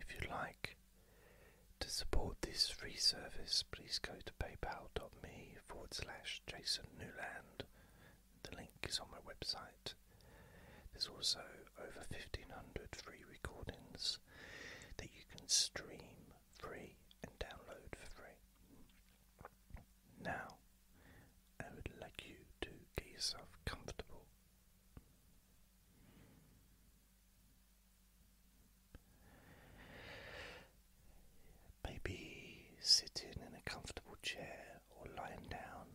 If you'd like to support this free service, please go to paypal.me forward slash Jason Newland. The link is on my website. There's also over 1500 free recordings that you can stream free and download for free. Now, I would like you to get yourself comfortable. Maybe sitting in a comfortable chair or lying down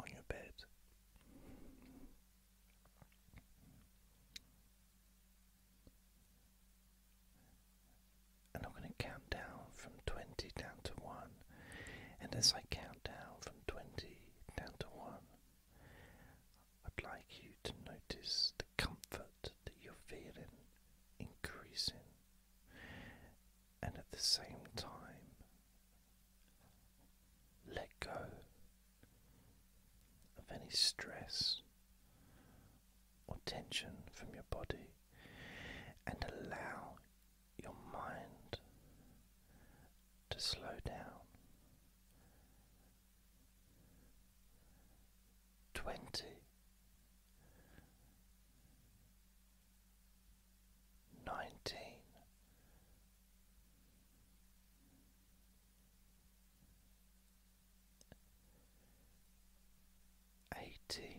on your bed. And I'm going to count down from 20 down to 1. And as I count down from 20 down to 1, I'd like you to notice the comfort that you're feeling increasing, and at the same time, let go of any stress or tension from your body and allow your mind to slow down. Twenty nineteen eighteen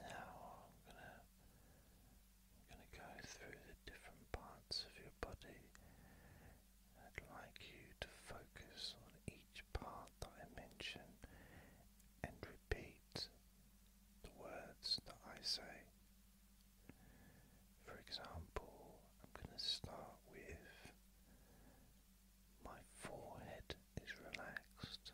Now I'm gonna go through the different parts of your body. I'd like you to focus on each part that I mention and repeat the words that I say. For example, I'm going to start with my forehead is relaxed.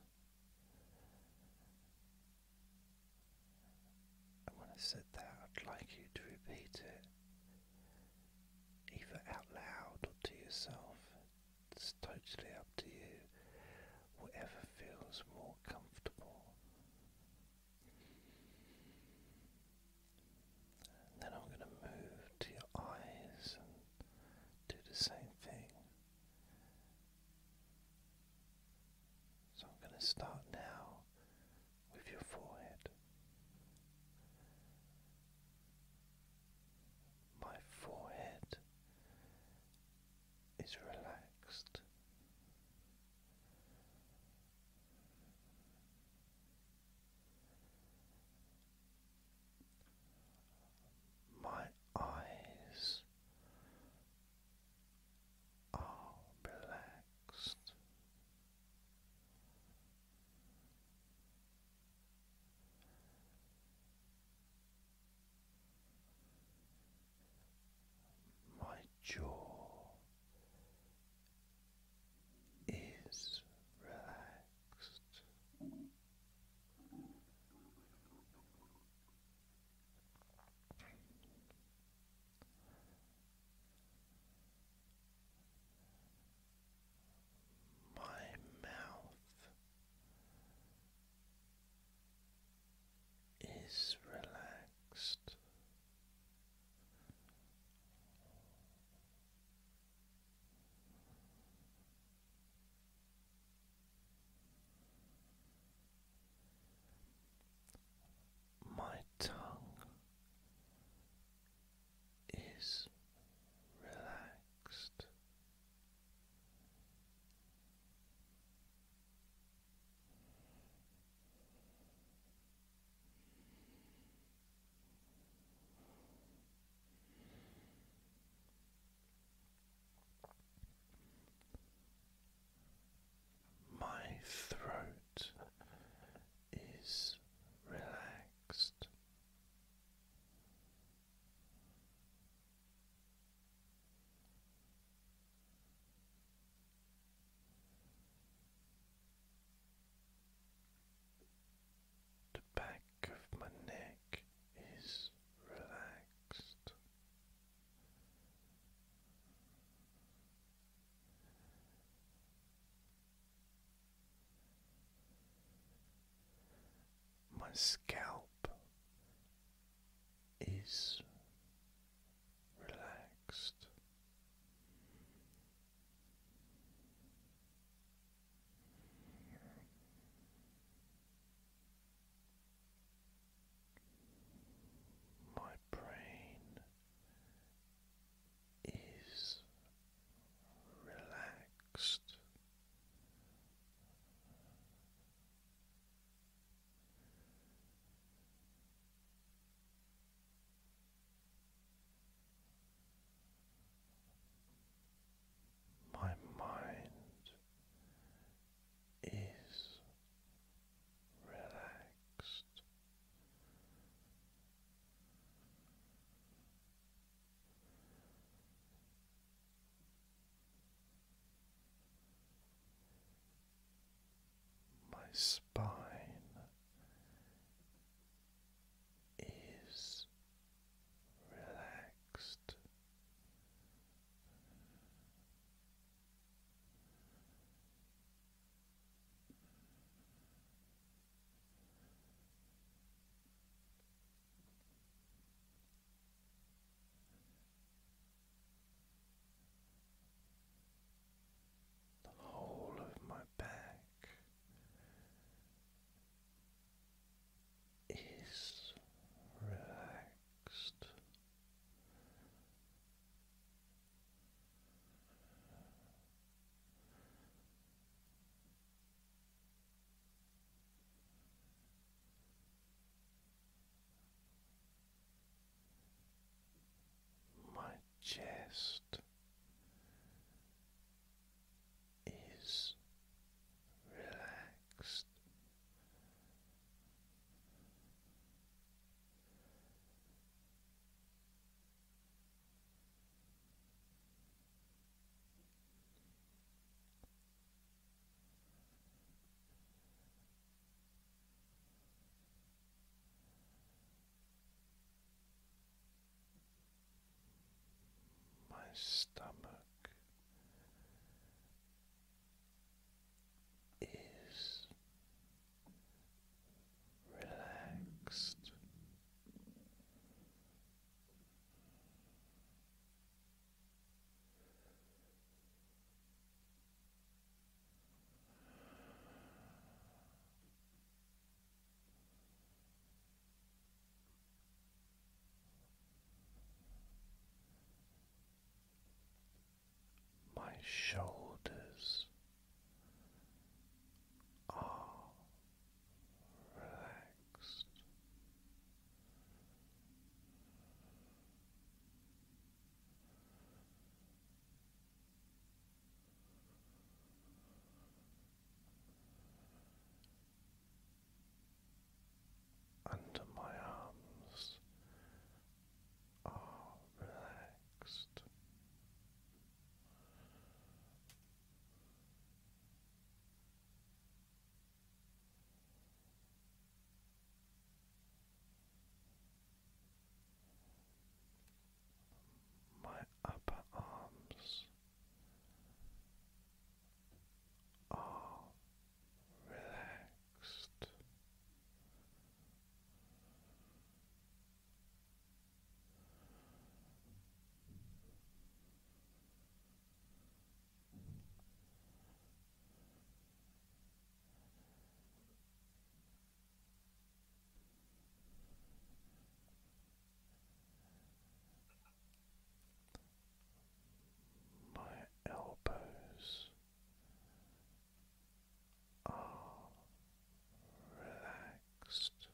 when I said that, I'd like you to repeat it either out loud or to yourself. It's totally up to you, whatever feels more comfortable then I'm going to move to your eyes and do the same thing. So I'm going to start now with your forehead. My forehead is relaxed. My eyes are relaxed. My jaw is relaxed. My mouth is relaxed. My tongue is relaxed. My throat is relaxed. The back of my neck is relaxed. My scalp is relaxed. My brain is relaxed. My mind is relaxed. My spine is relaxed. The whole of my back is relaxed. My chest is relaxed my stomach is relaxed. My shoulders are relaxed. Under my arms relaxed my upper arms are relaxed. My elbows are relaxed.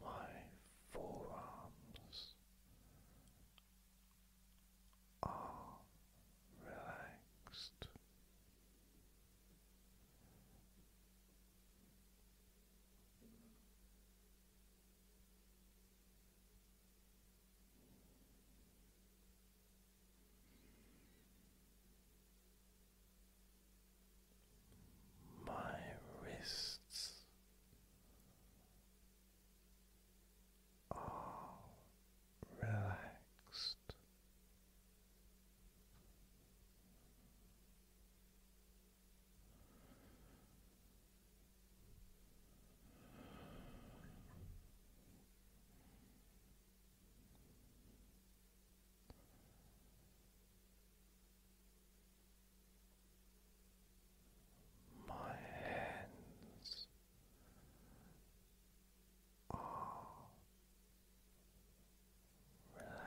My forearms are relaxed. My wrists are relaxed. My hands are relaxed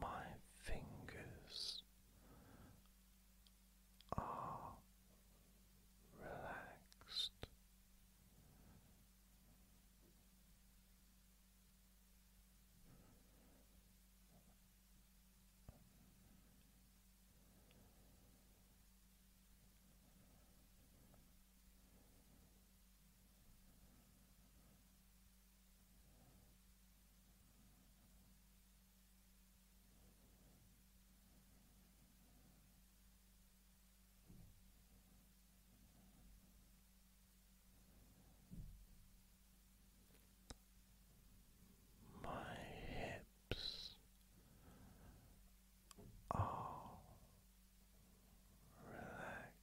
My fingers are relaxed. My hips are relaxed.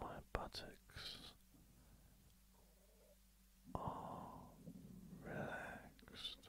My buttocks are relaxed.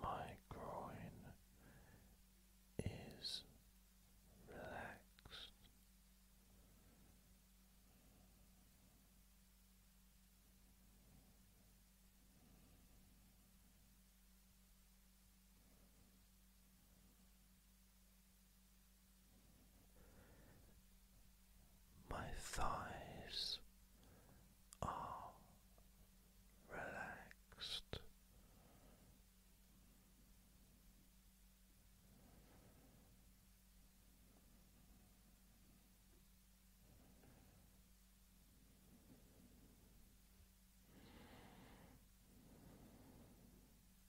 My groin is relaxed. My thighs are relaxed.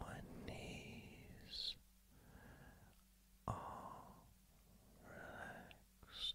My knees are relaxed.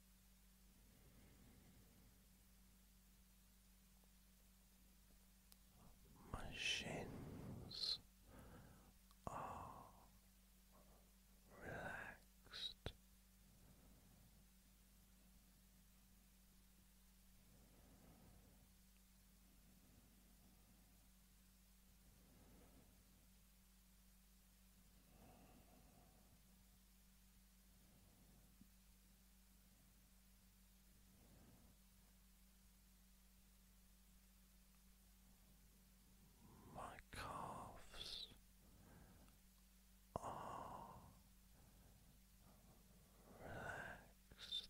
My shins are relaxed. My calves are relaxed.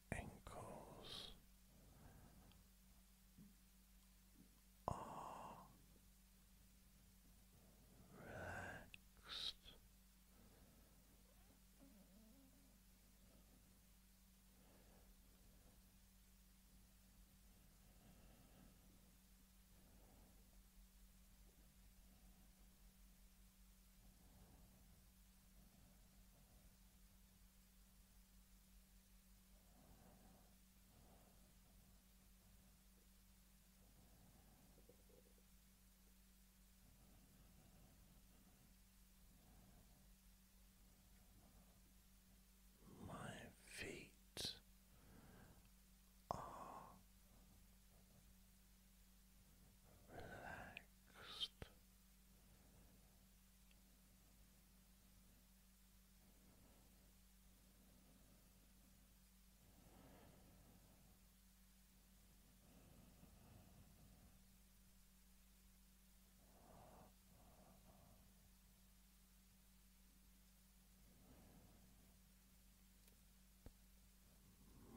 ankles are relaxed. My feet are relaxed.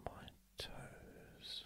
My toes.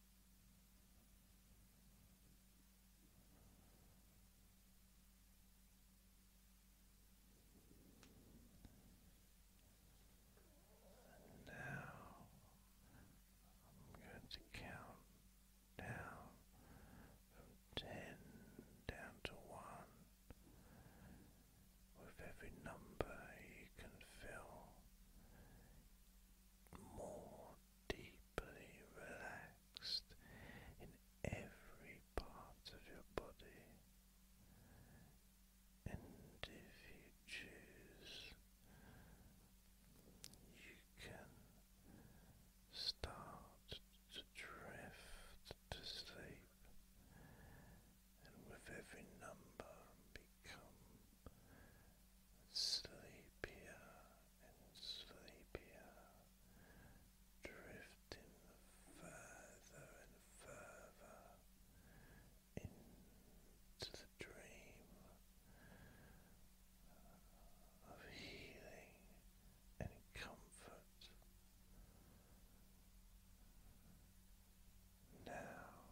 And now I'm going to count down from ten down to one. With every number you can fill more deeply relaxed in every part of your body. And if you choose, you can start to drift to sleep and with every number become sleepier and sleepier, drifting further and further into the dream of healing and comfort. Now